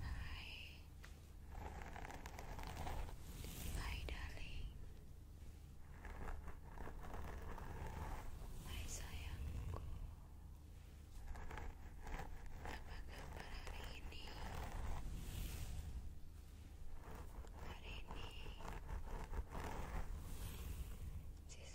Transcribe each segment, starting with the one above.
Hai, Hai darling. Hai sayangku. Apa kabar hari ini? Hari ini Sis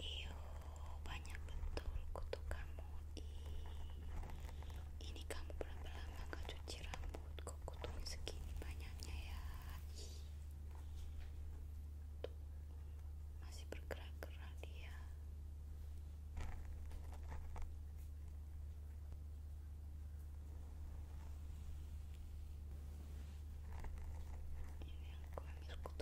Iyo, banyak betul kutu kamu. ini kamu pelan-pelan agak cuci rambut. Kok kutunya segini banyaknya ya? masih bergerak-gerak dia. Ini aku ambil kutu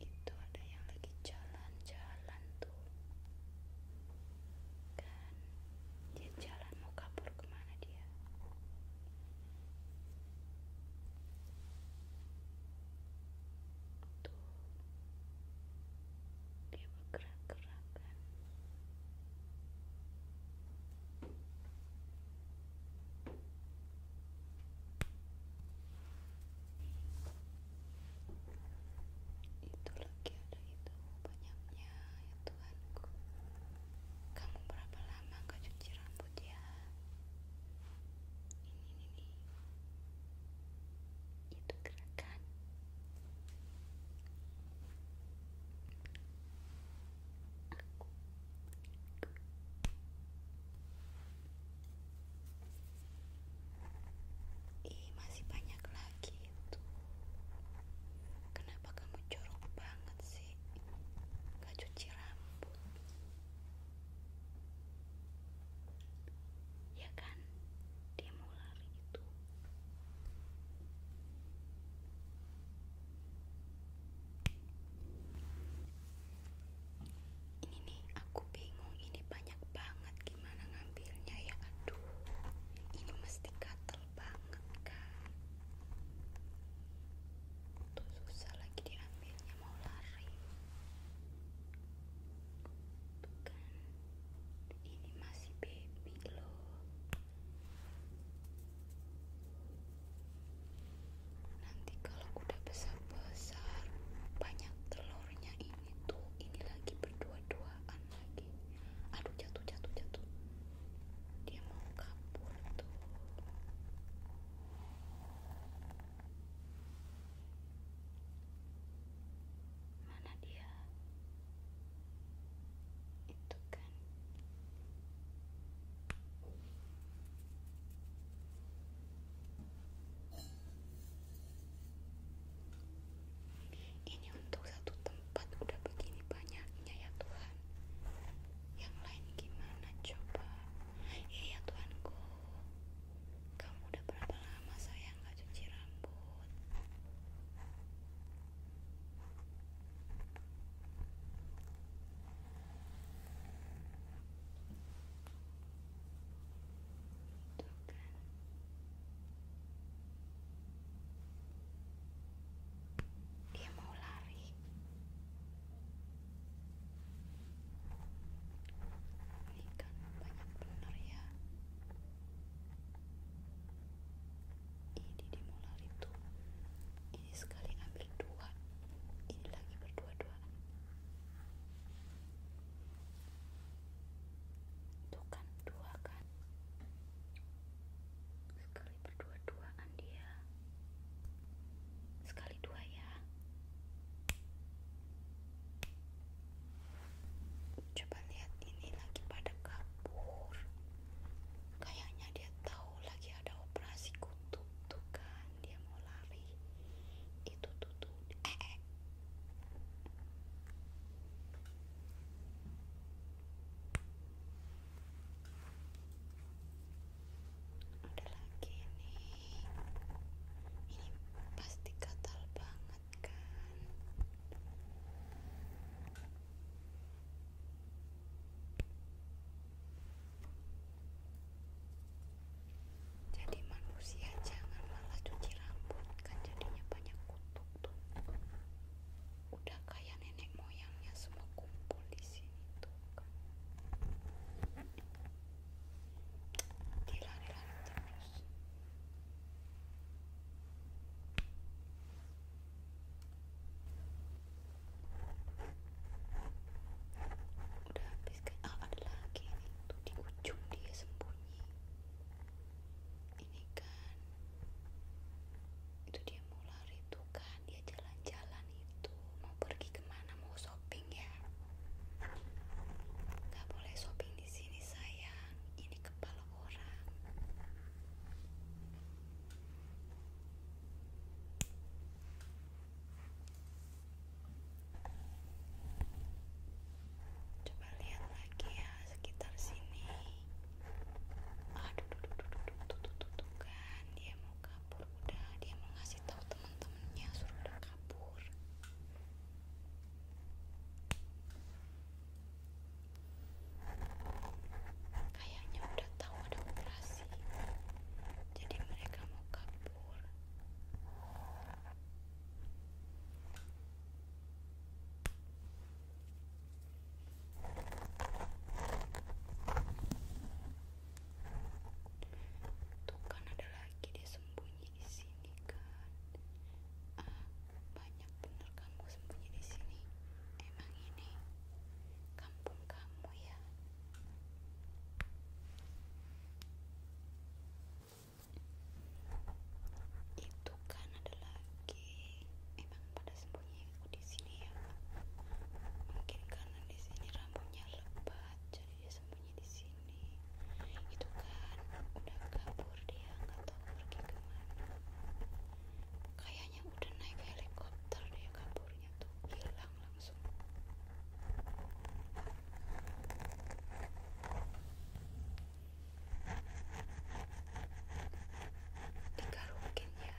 itu ada yang lagi jalan-jalan tuh kan dia jalan mau kabur kemana dia tuh dia bergerak-gerak kan itu lagi ada itu banyaknya ya Tuhanku kamu berapa lama gak cuci rambut ya ini ini, ini. itu gerakan Ih, masih banyak lagi itu. Kenapa kamu curug banget sih? Gak cuci rambut. Ya kan? Dia mau itu ini nih aku bingung ini banyak banget gimana ngambilnya ya aduh ini mesti gatel banget kan tuh susah lagi diambilnya mau lari bukan ini masih baby loh nanti kalau udah besar besar banyak telurnya ini tuh ini lagi berdua duaan lagi aduh jatuh jatuh jatuh dia mau kabur tuh mana dia itu ini untuk satu tempat udah begini banyaknya ya Tuhan yang lain gimana coba iya ya Tuhanku kamu udah berapa lama saya nggak cuci rambut dia mau lari ini kan banyak bener ya ini dia mau lari tuh sekali ambil dua ini lagi berdua-duaan tuh kan dua kan sekali berdua-duaan dia sekali dua ya coba lihat ini lagi pada kabur kayaknya dia tahu lagi ada operasi kutub tuh kan dia mau lari itu tuh tuh eh, eh. ada lagi nih ini pasti gatal banget kan jadi manusia jangan malah cuci rambut kan jadinya banyak kutuk tuh. Udah kayak nenek moyangnya semua kumpul di sini tuh kan. dilari terus udah habis kan ah ada lagi tuh di ujung dia sembunyi ini kan itu dia mau lari tuh kan dia jalan-jalan itu mau pergi kemana mau shopping ya nggak boleh shopping di sini sayang ini kepala orang Coba lihat lagi ya sekitar sini. Aduh, tuh, tuh, tuh, tuh, dia mau kabur udah, dia mau ngasih tahu teman-temannya suruh kabur. Kayaknya udah tahu ada operasi, jadi mereka mau kabur. Tuh kan ada lagi dia sembunyi di sini kan. Ah, banyak bener kamu sembunyi di sini. Emang ini kampung kamu ya itu kan ada lagi emang pada sembunyi aku di sini ya mungkin karena di sini rambutnya lebat jadi dia sembunyi di sini itu kan udah kabur dia nggak tahu pergi kemana kayak yang udah naik helikopter dia kaburnya tuh hilang langsung digarukin ya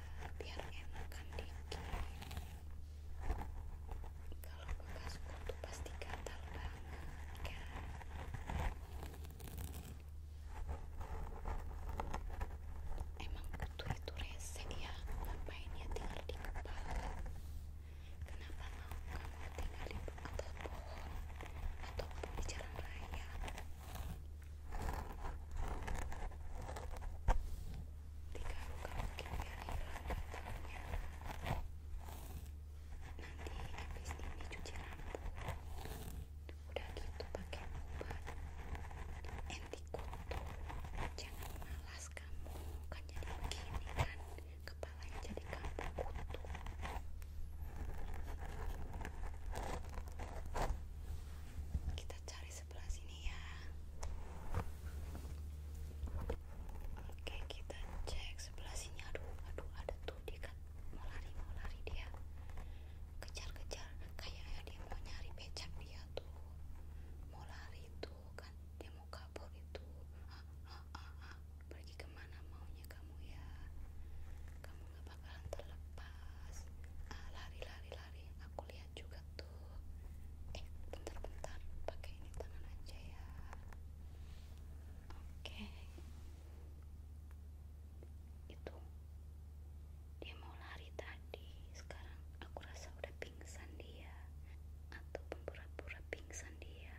biar enakan dikit kalau bekas kutu pasti gatal banget kan? Emang kutu itu rese ya, ngapain ya tinggal di kepala? Kenapa mau kamu tinggal di atas bohong ataupun di jalan raya? Tiga luka mungkin biar hilang batangnya. Nanti habis ini cuci rambut udah gitu pakai obat anti kutu jangan malas kamu kan jadi begini kan kepalanya jadi kampung kutu kita cari sebelah sini ya oke kita cek sebelah sini aduh aduh ada tuh dekat mau lari mau lari dia kejar-kejar kayak dia mau nyari becak dia tuh mau lari tuh kan dia mau kabur itu ah, ah, ah, ah. pergi kemana maunya kamu ya kamu gak bakalan terlepas ah, lari lari lari aku lihat juga tuh eh bentar-bentar pakai ini tangan aja ya oke itu dia mau lari tadi sekarang aku rasa udah pingsan dia atau pura-pura pingsan dia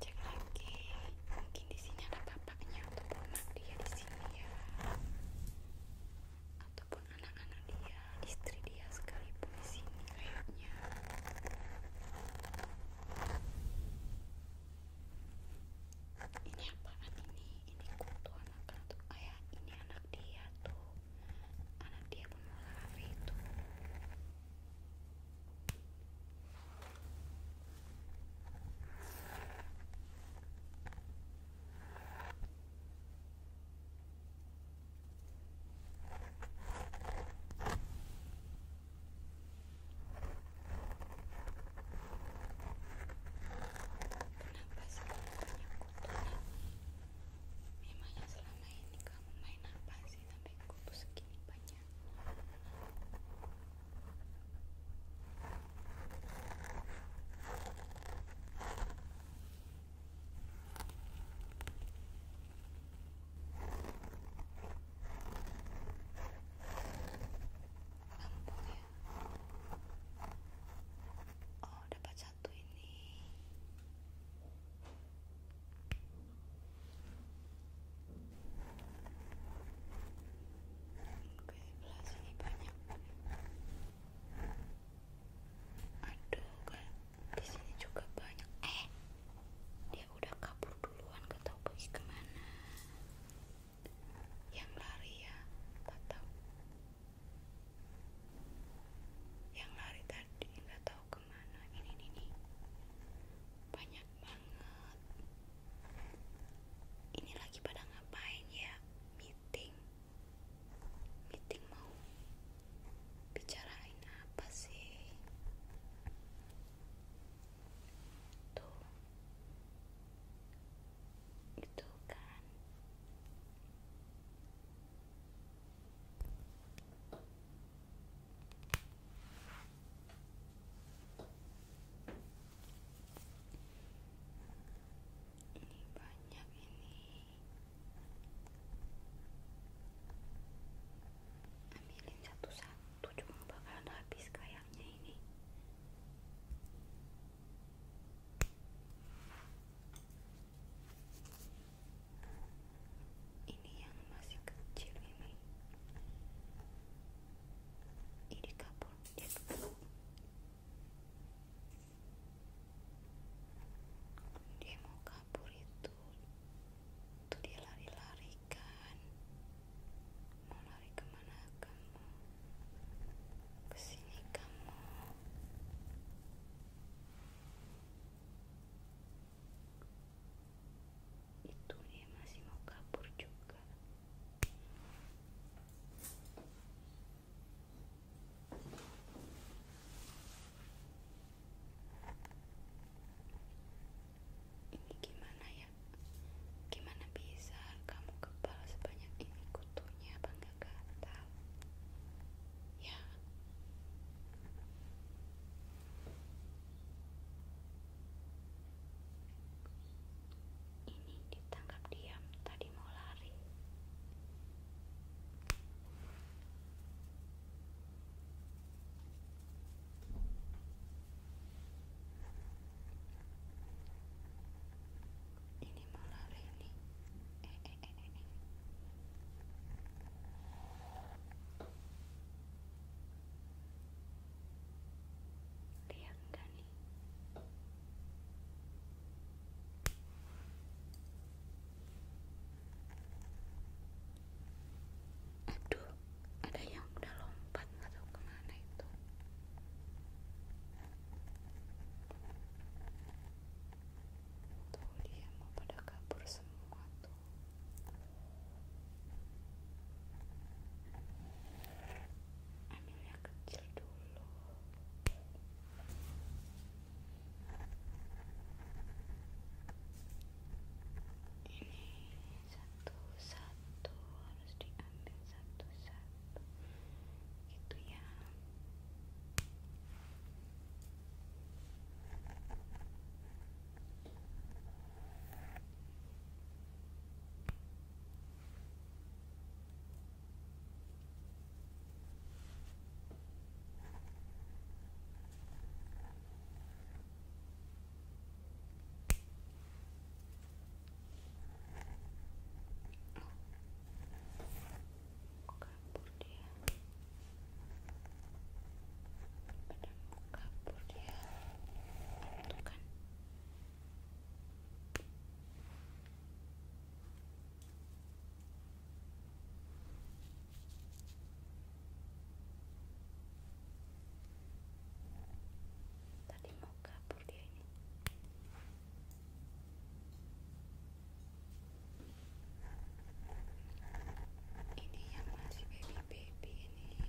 cek lagi mungkin di sini ada bapaknya atau ponak dia di sini ya ataupun anak-anak dia, istri dia sekalipun di sini kayaknya. Ini apaan ini? Ini kutu anak atau kan ayah? Ya, ini anak dia tuh, anak dia pemula kafe itu. Kenapa sih kamu banyak kotoran? Memangnya selama ini kamu main apa sih sampai kubu segini banyak? rampung ya oh dapat satu ini oke belas ini banyak aduh kan di sini juga banyak eh dia udah kabur duluan gak tau pergi kemana yang lari ya gak tau yang lari tadi gak tau kemana ini ini, ini. banyak banget ini lagi pada ngapain ya? meeting meeting mau bicarain apa sih itu, itu kan ini banyak ini ambilin satu-satu cuma bakalan habis kayaknya ini ini yang masih kecil ini ini kabur dia kabur dia mau kabur itu tuh dia lari-lari kan mau lari kemana kamu kesini kamu itu dia masih mau kabur juga ini gimana ya? Gimana bisa kamu kebal sebanyak ini kutunya apa nggak gatal? Ya ini ditangkap diam tadi mau lari ini mau lari eh, eh, eh, lihat kan Aduh, ada yang udah lompat nggak tahu kemana itu. Tuh dia mau pada kabur semua tuh ambil yang kecil dulu ini satu-satu harus diambil satu-satu itu yang kabur dia pada mau kabur dia itu kan Tadi mau kabur ini. Ini yang masih baby baby ini.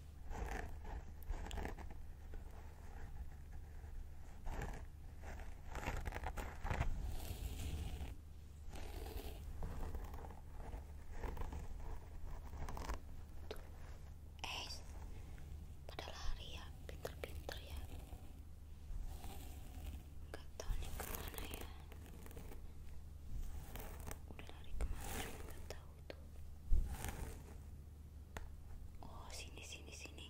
eh pada lari ya, pinter-pinter ya nggak tahu nih kemana ya udah lari kemana nggak tahu oh sini sini sini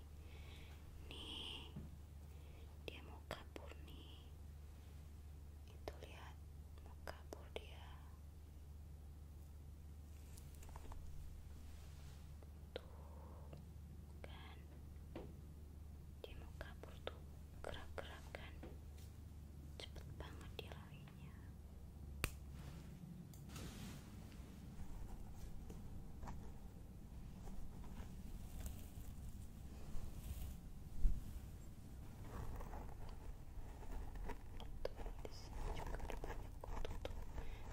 nih dia mau kabur nih itu lihat mau kabur dia tuh kan dia mau kabur tuh gerak-gerak kan cepet banget dia lari sebagainya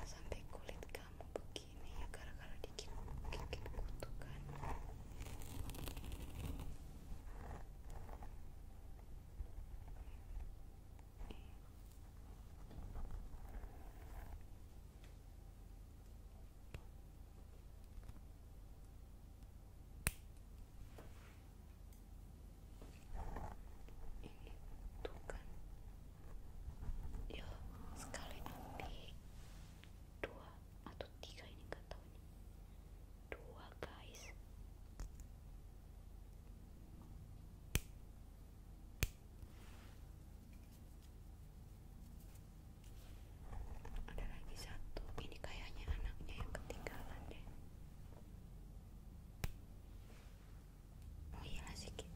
sampai kulit kamu begini ya gara-gara dikit gigit kutu kan itu kan ya sekali nanti dua atau tiga ini nggak tahu nih dua guys ada lagi satu ini kayaknya anaknya yang ketinggalan deh oh iya sedikit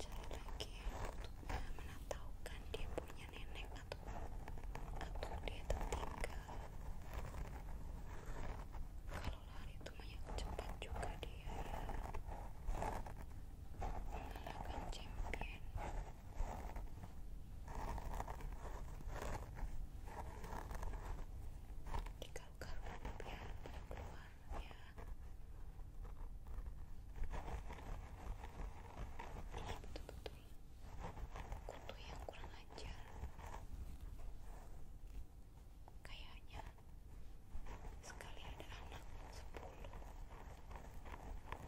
cari lagi mana dia punya nenek atau atau dia tertinggal kalau lari itu banyak cepat juga dia ya. mengalahkan champion jika kamu biar keluar ya ini betul-betul kutu yang kurang ajar kayaknya sekali ada anak sepuluh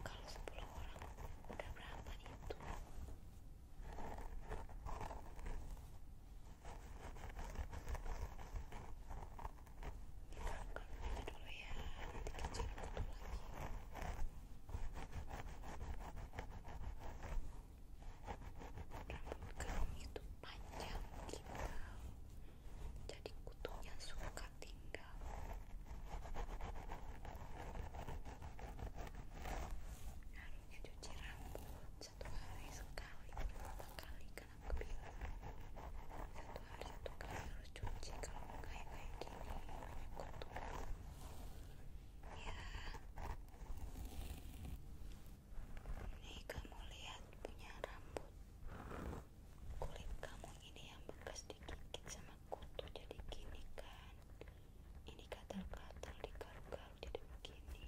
kalau sepuluh orang udah berapa itu kalau gitu dulu ya, nanti kita cari foto lagi. Rambut kamu itu panjang gitu, jadi kutunya suka tinggal. Harusnya cuci rambut satu hari sekali berapa kali kan aku satu hari satu kali harus cuci kalau kayak kayak gini kotor ya ini kamu lihat punya rambut kulit kamu ini yang bekas digigit sama kutu jadi gini kan ini gatal-gatal di garu-garu jadi begini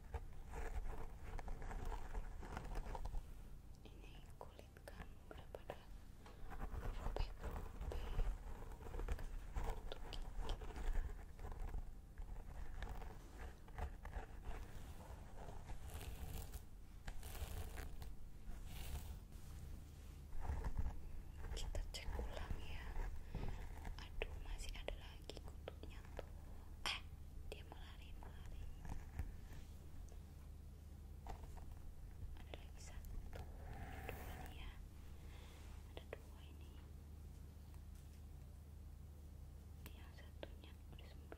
ini kulit kamu udah pada kita cek ulang ya aduh masih ada lagi lagi kutunya tuh eh dia melari melari ada lagi satu ada dua dia ya. ada dua ini yang satunya udah sembunyi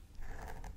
tuh masih ada lagi.